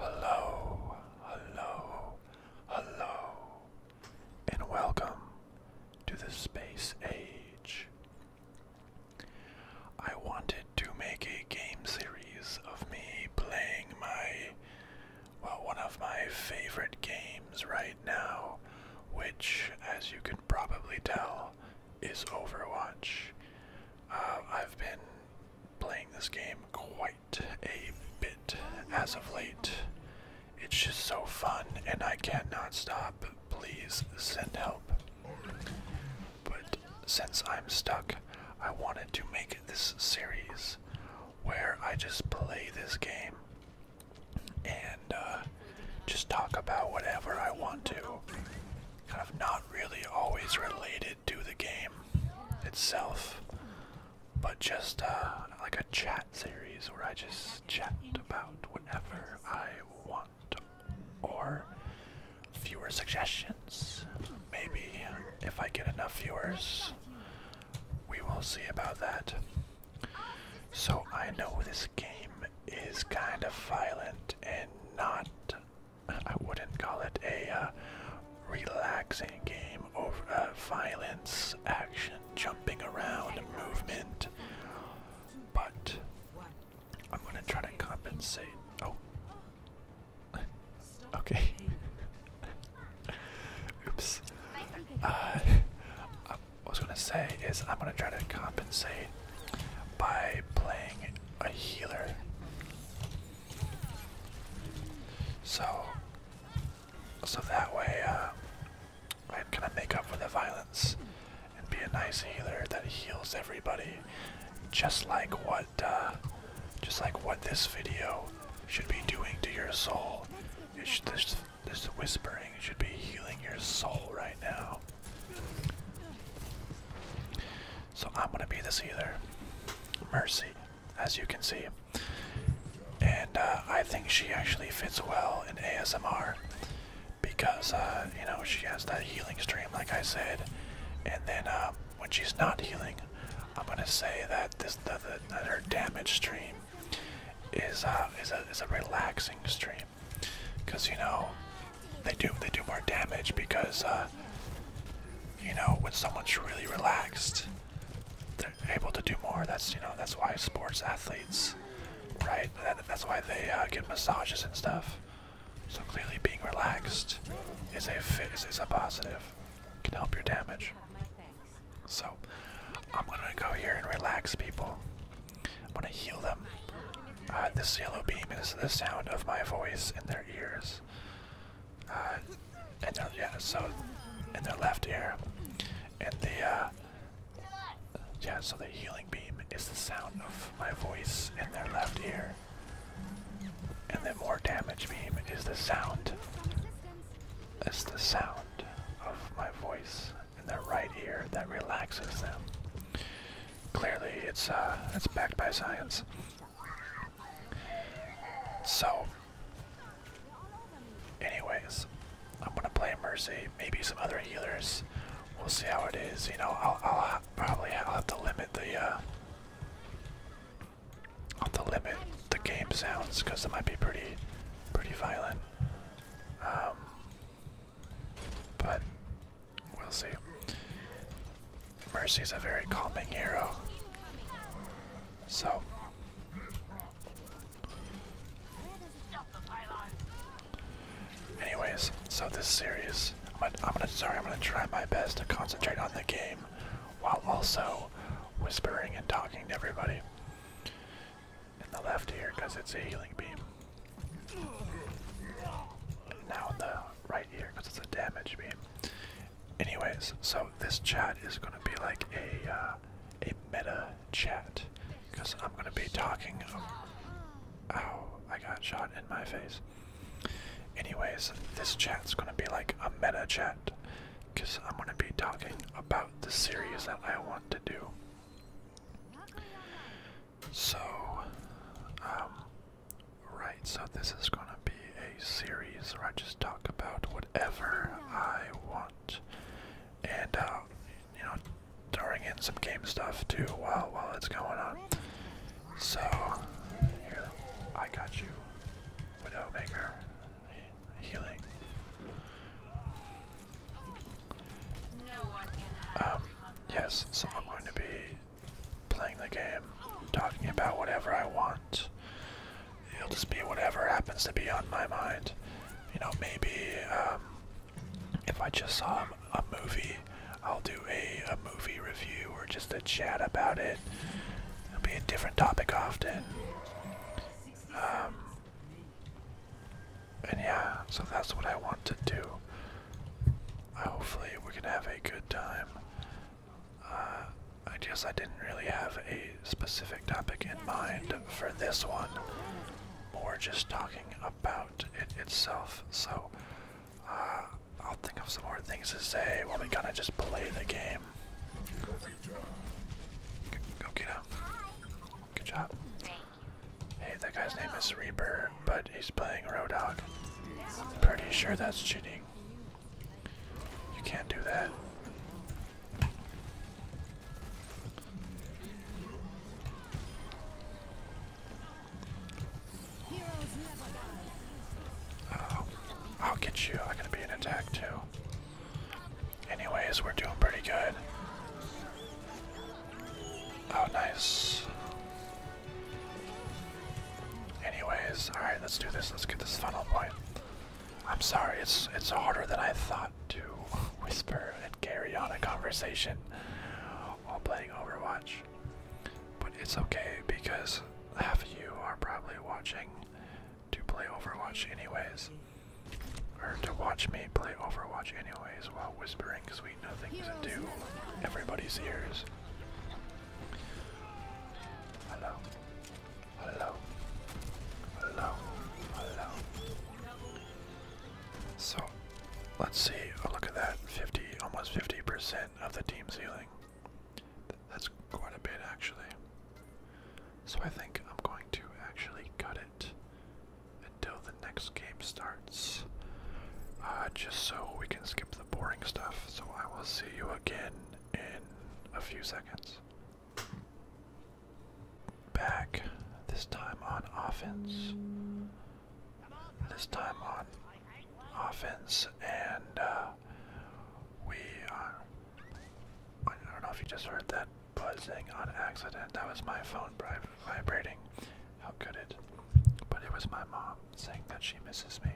Hello, hello, hello, and welcome to the Space Age. I wanted to make a game series of me playing my well, one of my favorite games right now, which, as you can probably tell, is Overwatch. Um, I've been playing this game quite a bit as of late. It's just so fun, and I cannot stop. Please send help. But since I'm stuck, I wanted to make this series where I just play this game and uh, just talk about whatever I want to. Kind of not really always related to the game itself, but just uh, like a chat series where I just chat about whatever I want. Or fewer suggestions. Maybe if I get enough viewers, we will see about that. So I know this game is kind of violent and not, I wouldn't call it a uh, relaxing game of uh, violence, action, jumping around, movement, but I'm gonna try to compensate. Oh, okay. Oops. Uh, I was gonna say is I'm gonna try to compensate by playing a healer. So, so that way uh, I kind make up for the violence and be a nice healer that heals everybody, just like what uh, just like what this video should be doing to your soul. this, whispering should be healing your soul right now. So I'm gonna be this healer. Mercy, as you can see. And uh, I think she actually fits well in ASMR because, uh, you know, she has that healing stream, like I said. And then uh, when she's not healing, I'm gonna say that this that, that her damage stream is uh, is a is a relaxing stream because you know they do they do more damage because uh, you know when someone's really relaxed they're able to do more. That's you know that's why sports athletes right that's why they uh, get massages and stuff. So clearly being relaxed is a is a positive. Can help your damage. So I'm gonna go here and relax people. I'm gonna heal them. Uh, this yellow beam is the sound of my voice in their ears. and uh, yeah, so in their left ear, and the uh, yeah, so the healing beam is the sound of my voice in their left ear, and the more damage beam is the sound it's the sound of my voice in their right ear that relaxes them. Clearly, it's uh, it's backed by science. So, anyways, I'm gonna play Mercy. Maybe some other healers. We'll see how it is. You know, I'll, probably have to limit the uh, on the limit the game sounds because it might be pretty, pretty violent. Um, but we'll see. Mercy's a very calming hero, so. Anyways, so this series, i I'm gonna, sorry, I'm gonna try my best to concentrate on the game while also whispering and talking to everybody in the left ear because it's a healing beam. Now the right ear because it's a damage beam. Anyways, so this chat is going to be like a uh, a meta chat because I'm going to be talking. Ow! I got shot in my face. Anyways, this chat's going to be like a meta chat because I'm going to be talking about the series that I want to do. So, um, right, so this is going to be a series where I just talk about whatever I want. And, uh, you know, throwing in some game stuff too while, while it's going on. So, here, I got you. Widowmaker healing. Um, yes, so I'm going to be playing the game, talking about whatever I want. It'll just be whatever happens to be on my mind. You know, maybe um, if I just saw a movie, I'll do a, a movie review or just a chat about it it. will be a different topic often. Um, and yeah, so that's what I want to do. Uh, hopefully, we're gonna have a good time. Uh, I guess I didn't really have a specific topic in mind for this one. More just talking about it itself. So, uh, I'll think of some more things to say while we kind of just play the game. Go get him. Good job. Hey, that guy's name is Reaper, but he's playing Rodog. Pretty sure that's cheating. You can't do that. Oh. I'll get you. I am going to be an attack too. Anyways, we're doing pretty good. Oh, nice. Anyways, all right, let's do this. Let's get this funnel point. I'm sorry, it's it's harder than I thought to whisper and carry on a conversation while playing Overwatch, but it's okay because half of you are probably watching to play Overwatch anyways. Or to watch me play Overwatch anyways while whispering sweet nothings into everybody's ears. Hello. Hello. Hello. Hello. So, let's see. A oh, look at that. 50, almost 50% of the team's healing. That's quite a bit actually. So I think I'm going to actually cut it until the next game starts. Uh, just so we can skip the boring stuff. So I will see you again in a few seconds. Back, this time on offense. This time on offense, and uh, we are. Uh, I don't know if you just heard that buzzing on accident. That was my phone vibrating. How could it? But it was my mom saying that she misses me.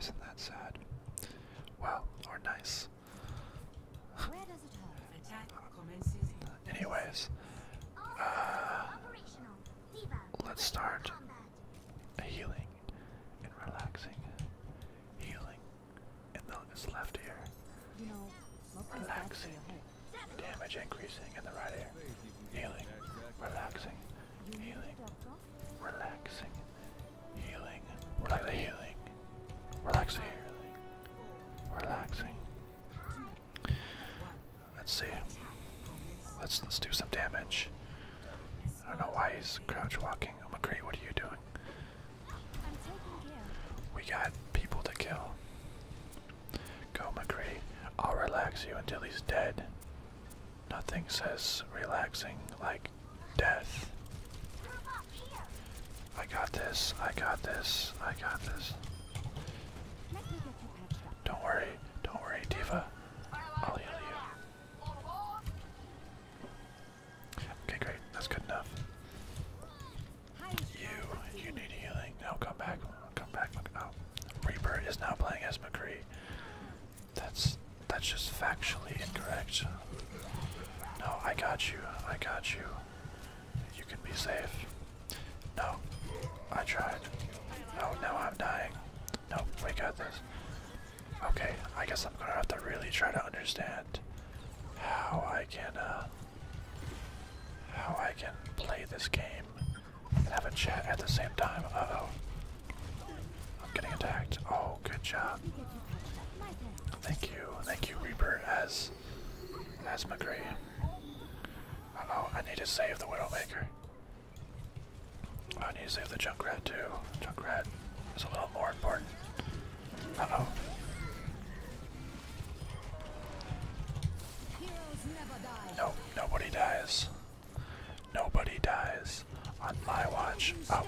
Isn't that sad? Well, or nice. Anyways, uh, let's start healing and relaxing, healing, and the left ear, relaxing, damage increasing in the right ear, healing, relaxing, healing, relaxing, healing, relax the healing, the healing, relaxing. Let's see. Let's let's do some damage. I don't know why he's crouch walking. I'm agree. What are you doing? I'm taking care. We got people to kill. Go, McCree. I'll relax you until he's dead. Nothing says relaxing like death. I got this. I got this. I got this. Don't worry. Don't worry, Diva. I'll heal you. Okay, great. That's good enough. You, you need healing. No, come back. Come back. Oh, Reaper is now playing as McCree. That's that's just factually incorrect. No, I got you. I got you. You can be safe. No, I tried. Oh, no, now I'm dying. No, we got this. Okay, I guess I'm gonna have to really try to understand how I can uh, how I can play this game and have a chat at the same time. oh I'm getting attacked. Oh, good job. Thank you. Thank you, Reaper, as as McGree. Uh I need to save the Widowmaker. I need to save the Junkrat too. Junkrat is a little more important. No, nobody dies. Nobody dies on my watch. Oh.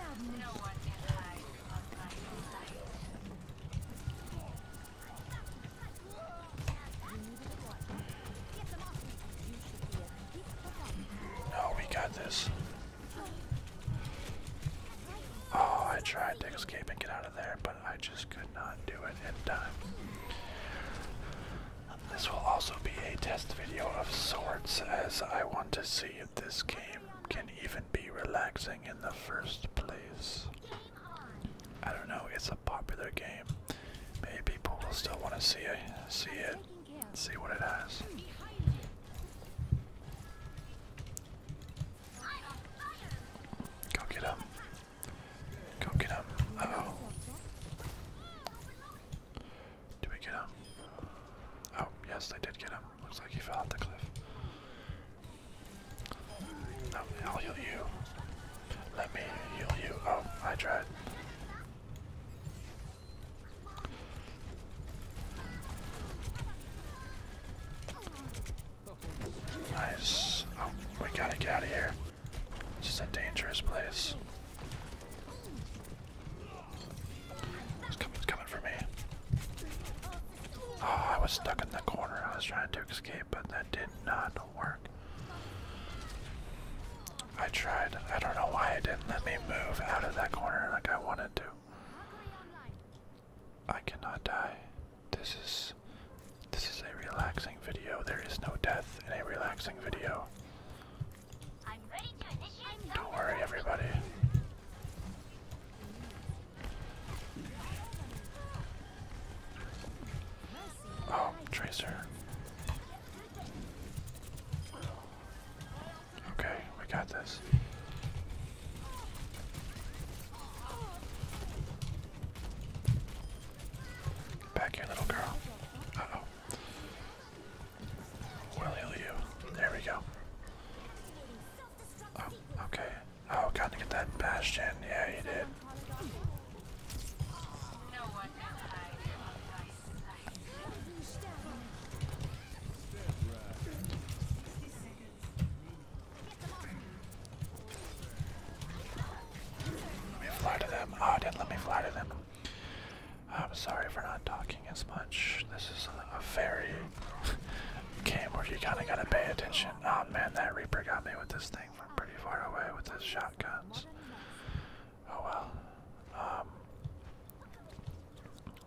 No, oh, we got this. Oh, I tried to escape and get out of there, but I just could not do it in time. This will also be a test video of sorts, as I want to see if this game can even be relaxing in the first place. I don't know, it's a popular game. Maybe people will still want to see it. See it see what it has. Go get him. Go get him. oh. Do we get him? Oh, yes, they did get him. Looks like he fell off the cliff. No, I'll heal you. Let me heal you. Oh, I tried. Nice. Oh, we gotta get out of here. This is a dangerous place. It's coming, it's coming for me. Oh, I was stuck in the corner. I was trying to escape, but that did not work. I tried. I don't know why it didn't let me move out of that corner like I wanted to. I cannot die. This is this is a relaxing video. There is no death in a relaxing video. I'm ready to initiate Don't worry everybody. Oh, Tracer. Okay, we got this. Back here, little girl. Uh oh. will heal you. There we go. Oh, okay. Oh, gotta get that bastion. Yeah, you did. Let me flatter them. Oh, ah, did let me flatter them. I'm sorry for not talking as much. This is a, a very game where you kind of gotta pay attention. Oh man, that Reaper got me with this thing from pretty far away with his shotguns. Oh well. Um,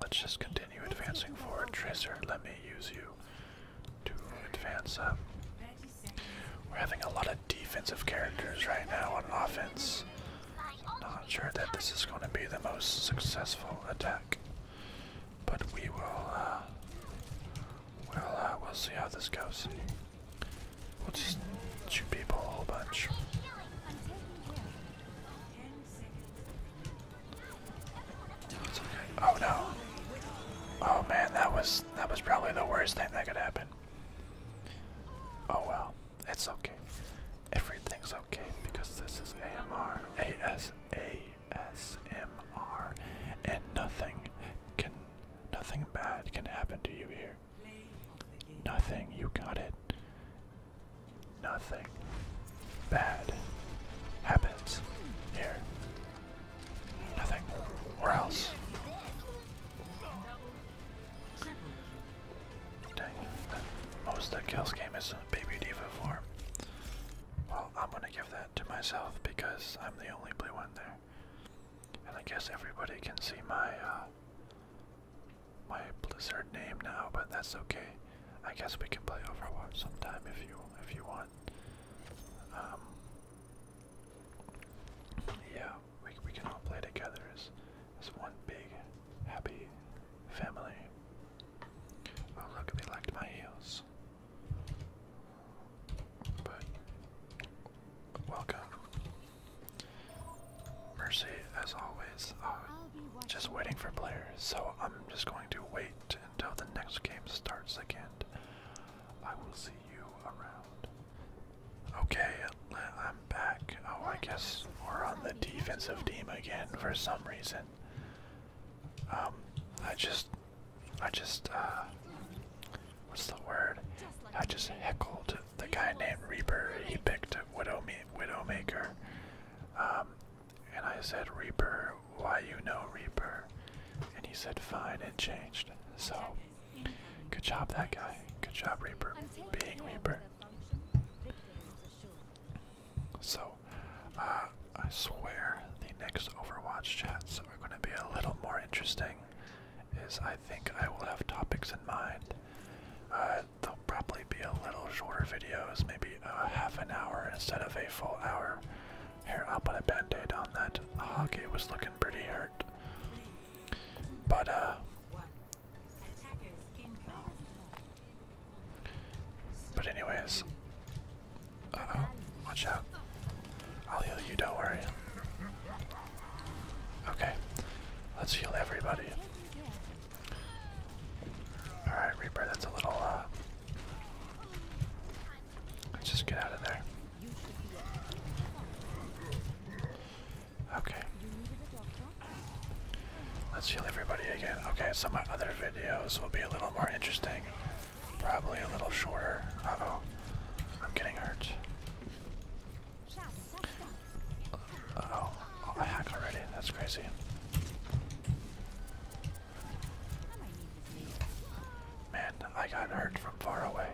let's just continue advancing forward. Tracer, let me use you to advance We're having a lot of defensive characters right now on offense. I'm Not sure that this is going to be the most successful attack, but we will. Uh, we'll uh, we'll see how this goes. We'll just shoot people a whole bunch. Oh no. Oh man, that was that was probably the worst thing that could happen. Oh well, it's okay. Everything's okay because this is AMR, ASMR, and nothing can, nothing bad can happen to you here. Nothing. You got it. Nothing bad happens here. Nothing. Or else. Dang. The most that kills game is Baby Diva form. Well, I'm gonna give that to myself because I'm the only blue one there. And I guess everybody can see my uh, my Blizzard name now, but that's okay. I guess we can play Overwatch sometime if you if you want. Um, yeah, we we can all play together as as one big happy family. Oh look, they liked my heels. But welcome. Mercy, as always, uh, just waiting for players, so I'm just going to wait until the next game starts again. I will see you around. Okay, I'm back. Oh, I guess we're on the defensive team again for some reason. Um, I just, I just, uh, what's the word? I just heckled the guy named Reaper. He picked Widow Widowmaker, um, and I said, "Reaper, why you know Reaper?" And he said, "Fine," and changed. So, good job, that guy. Good job, Reaper, being Reaper. So, uh, I swear the next Overwatch chats are going to be a little more interesting is I think I will have topics in mind. Uh, they'll probably be a little shorter videos, maybe a half an hour instead of a full hour. Here, I'll put a bandaid on that. The hockey was looking pretty hurt. But, uh... But anyways... Uh-oh, watch out. I'll heal you, don't worry. Okay, let's heal everybody. Alright, Reaper, that's a little, uh, Let's just get out of there. Okay. Let's heal everybody again. Okay, so my other videos will be a little more interesting. Probably a little shorter. I'm getting hurt oh. I hack already. That's crazy. Man, I got hurt from far away.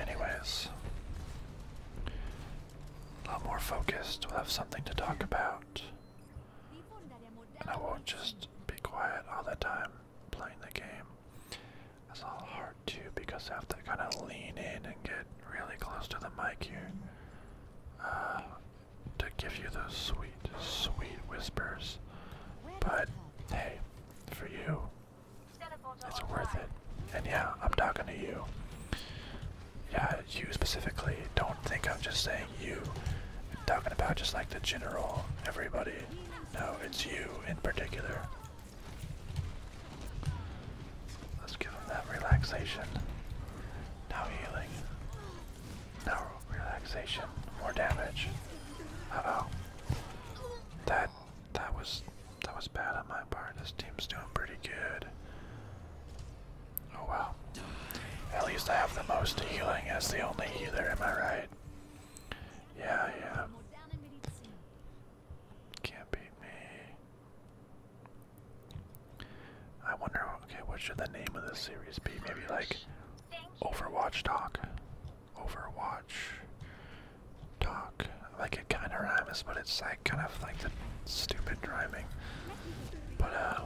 Anyways, a lot more focused. We'll have something to talk about. And I won't just be quiet all the time playing the game. That's all hard too because I have to kind of lean in and get really close to the mic here uh, to give you those sweet, sweet whispers. But hey, for you, it's worth it. And yeah, I'm talking to you. Yeah, you specifically. Don't think I'm just saying you. talking about just like the general everybody. No, it's you in particular. Let's give him that relaxation. Now healing. Now relaxation. More damage. Uh oh. That that was that was bad on my part. This team's doing pretty good. Oh wow. At least I have the most healing as the only healer, am I right? Yeah, yeah. Can't beat me. I wonder, okay, what should the name of this series be? Maybe like Overwatch Talk. Overwatch Talk. Like it kind of rhymes, but it's like kind of like the stupid rhyming. But, uh.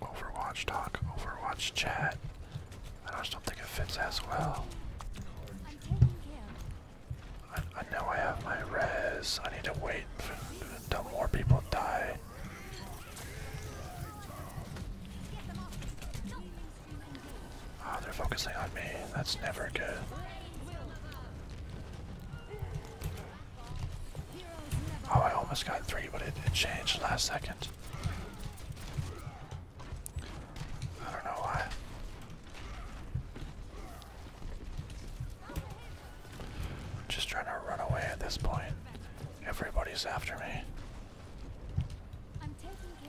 Overwatch talk, Overwatch chat. I just don't think it fits as well. I, know I have my res. I need to wait until more people die. Ah, they're focusing on me. That's never good. Oh, I almost got three, but it, changed last second. I don't know why. I'm Just trying to run away at this point. Everybody's after me.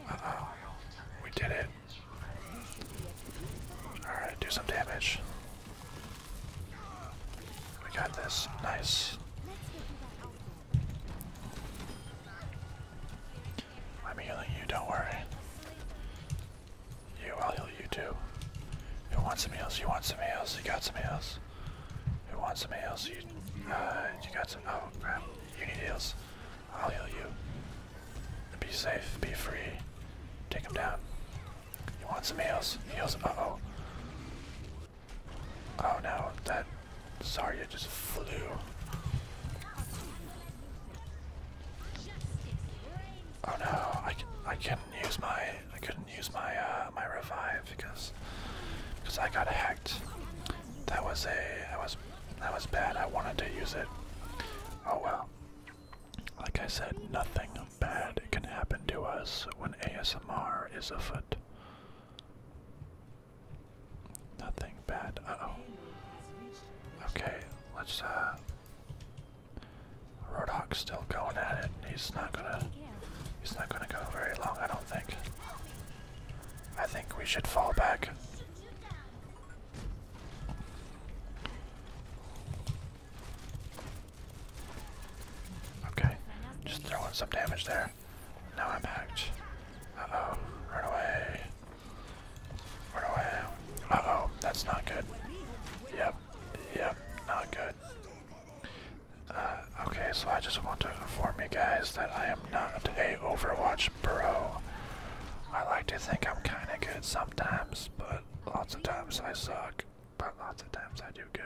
Uh oh. We did it. Alright, do some damage. We got this. Nice. I'm healing you, don't worry. You, I'll heal you too. Who wants some heals? You want some heals? You got some heals. Who wants some heals? You, uh, you got some, oh You need heals. I'll heal you. Be safe, be free. Take him down. You want some heals? Heals, oh. Oh no, that Zarya just flew. Oh no, I, I couldn't use my I couldn't use my uh, my revive because because I got hacked. That was a that was that was bad. I wanted to use it. Oh well. Like I said, nothing bad can happen to us when ASMR is afoot. Nothing bad. Uh oh. Okay, let's uh still going at it. He's not gonna he's not gonna go very long, I don't think. I think we should fall back. Okay, just throwing some damage there. Now I'm hacked. Uh-oh, run away. Run away. Uh-oh, that's not good. Yep, yep, not good. Uh, okay, so I just want to inform you guys that I am not a Overwatch bro. I like to think I'm kinda good sometimes, but lots of times I suck. But lots of times I do good.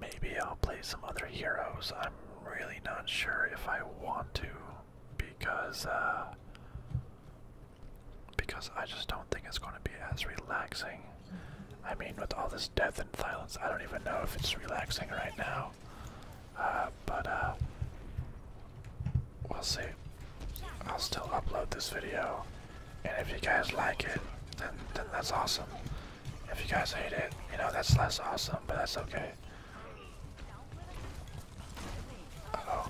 Maybe I'll play some other heroes. I'm really not sure if I want to because uh because I just don't think it's going to be as relaxing. I mean, with all this death and violence, I don't even know if it's relaxing right now. Uh, but uh, we'll see. I'll still upload this video and if you guys like it, then, then that's awesome. If you guys hate it, you know, that's less awesome, but that's okay. oh.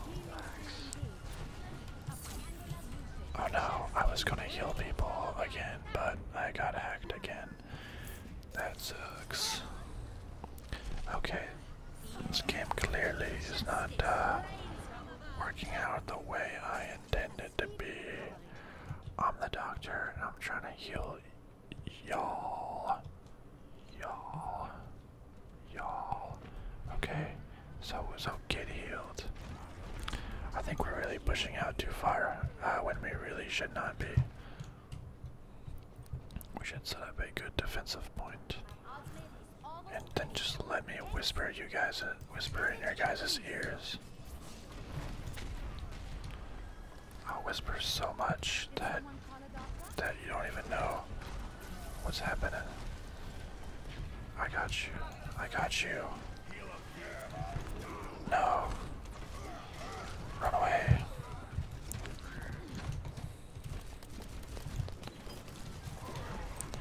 no, I was gonna heal people again, but I got hacked again. That sucks. Okay. This game clearly is not uh, working out the way I intended to be. I'm the doctor and I'm trying to heal y'all. Y'all. Y'all. Okay, so so get healed. I think we're really pushing out too far uh, when we really should not be. We should set up a good defensive point and then just let me whisper you guys uh, whisper in your guys' ears. I'll whisper so much that that you don't even know what's happening. I got you. I got you. No. Run away.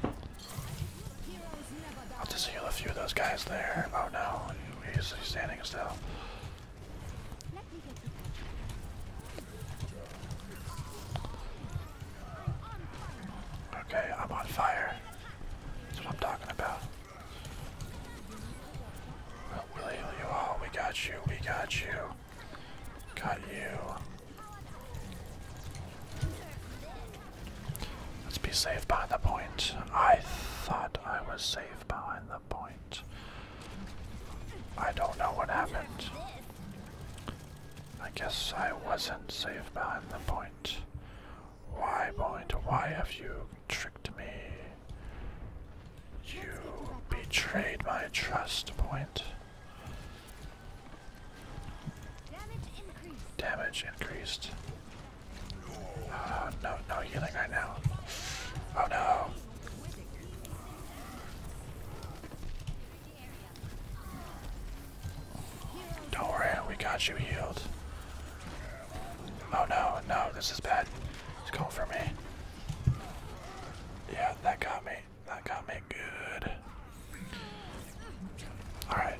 I'll just heal a few of those guys there about oh, now. He's, he's standing still. Okay, I'm on fire. That's what I'm talking about. will heal you all. We got you. We got you. Got you. Let's be safe behind the point. I thought I was safe behind the point. I don't know what happened. I guess I wasn't safe behind the point. Why, point? Why have you tricked me? You betrayed my trust, point. Damage increased. Damage increased. Ah, no, no healing right now. Oh no. Don't worry, we got you healed. Oh no, no, this is bad. It's going for me. Yeah, that got me. That got me good. All right.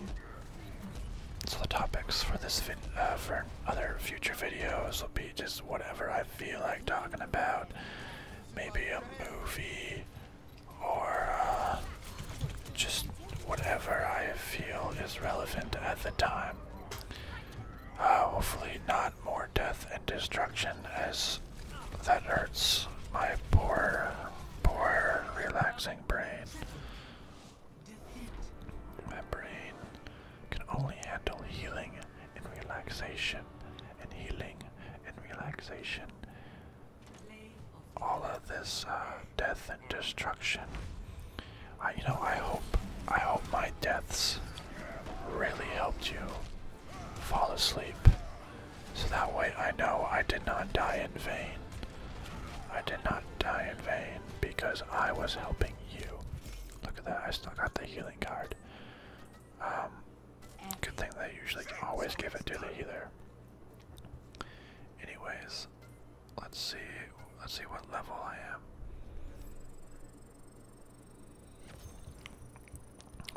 So the topics for this vid, uh, for other future videos will be just whatever I feel like talking about. Maybe a movie, or uh, just whatever I feel is relevant at the time. Uh, hopefully not more death and destruction as that hurts my poor, poor relaxing my brain can only handle healing and relaxation and healing and relaxation. All of this uh, death and destruction. I, you know, I hope, I hope my deaths really helped you fall asleep so that way I know I did not die in vain. I did not die in vain because I was helping you. Look at that, I still got the healing card. Um, good thing they usually always give it to the healer. Anyways, let's see, let's see what level I am.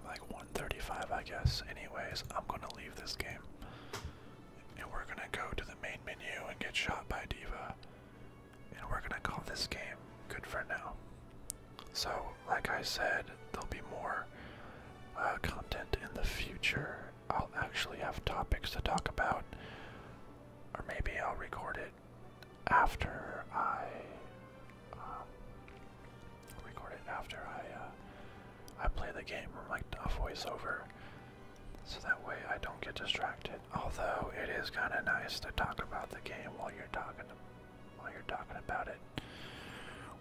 Like 135 I guess. Anyways, I'm gonna leave this game and we're gonna go to the main menu and get shot by Diva. And we're gonna call this game good for now. So, like I said, there'll be more uh, content in the future. I'll actually have topics to talk about, or maybe I'll record it after I um, record it after I uh, I play the game or like a voiceover, so that way I don't get distracted. Although it is kind of nice to talk about the game while you're talking while you're talking about it.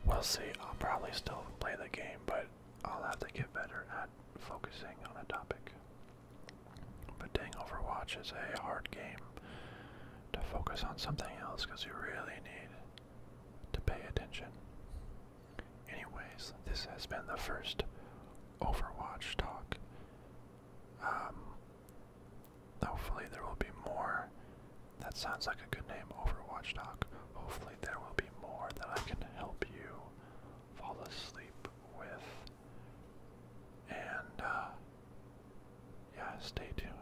We'll see. I'll probably still play the game, but I'll have to get better at focusing on a topic. But dang, Overwatch is a hard game to focus on something else because you really need to pay attention. Anyways, this has been the first Overwatch talk. Um, hopefully, there will be more. That sounds like a good name, Overwatch talk. Hopefully, there will be more that I can help you fall asleep with. And, uh, yeah, stay tuned.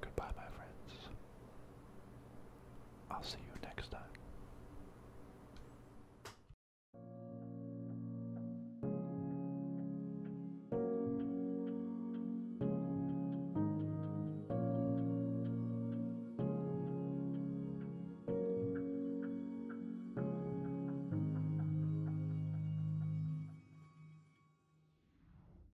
Goodbye, my friends. I'll see you next time.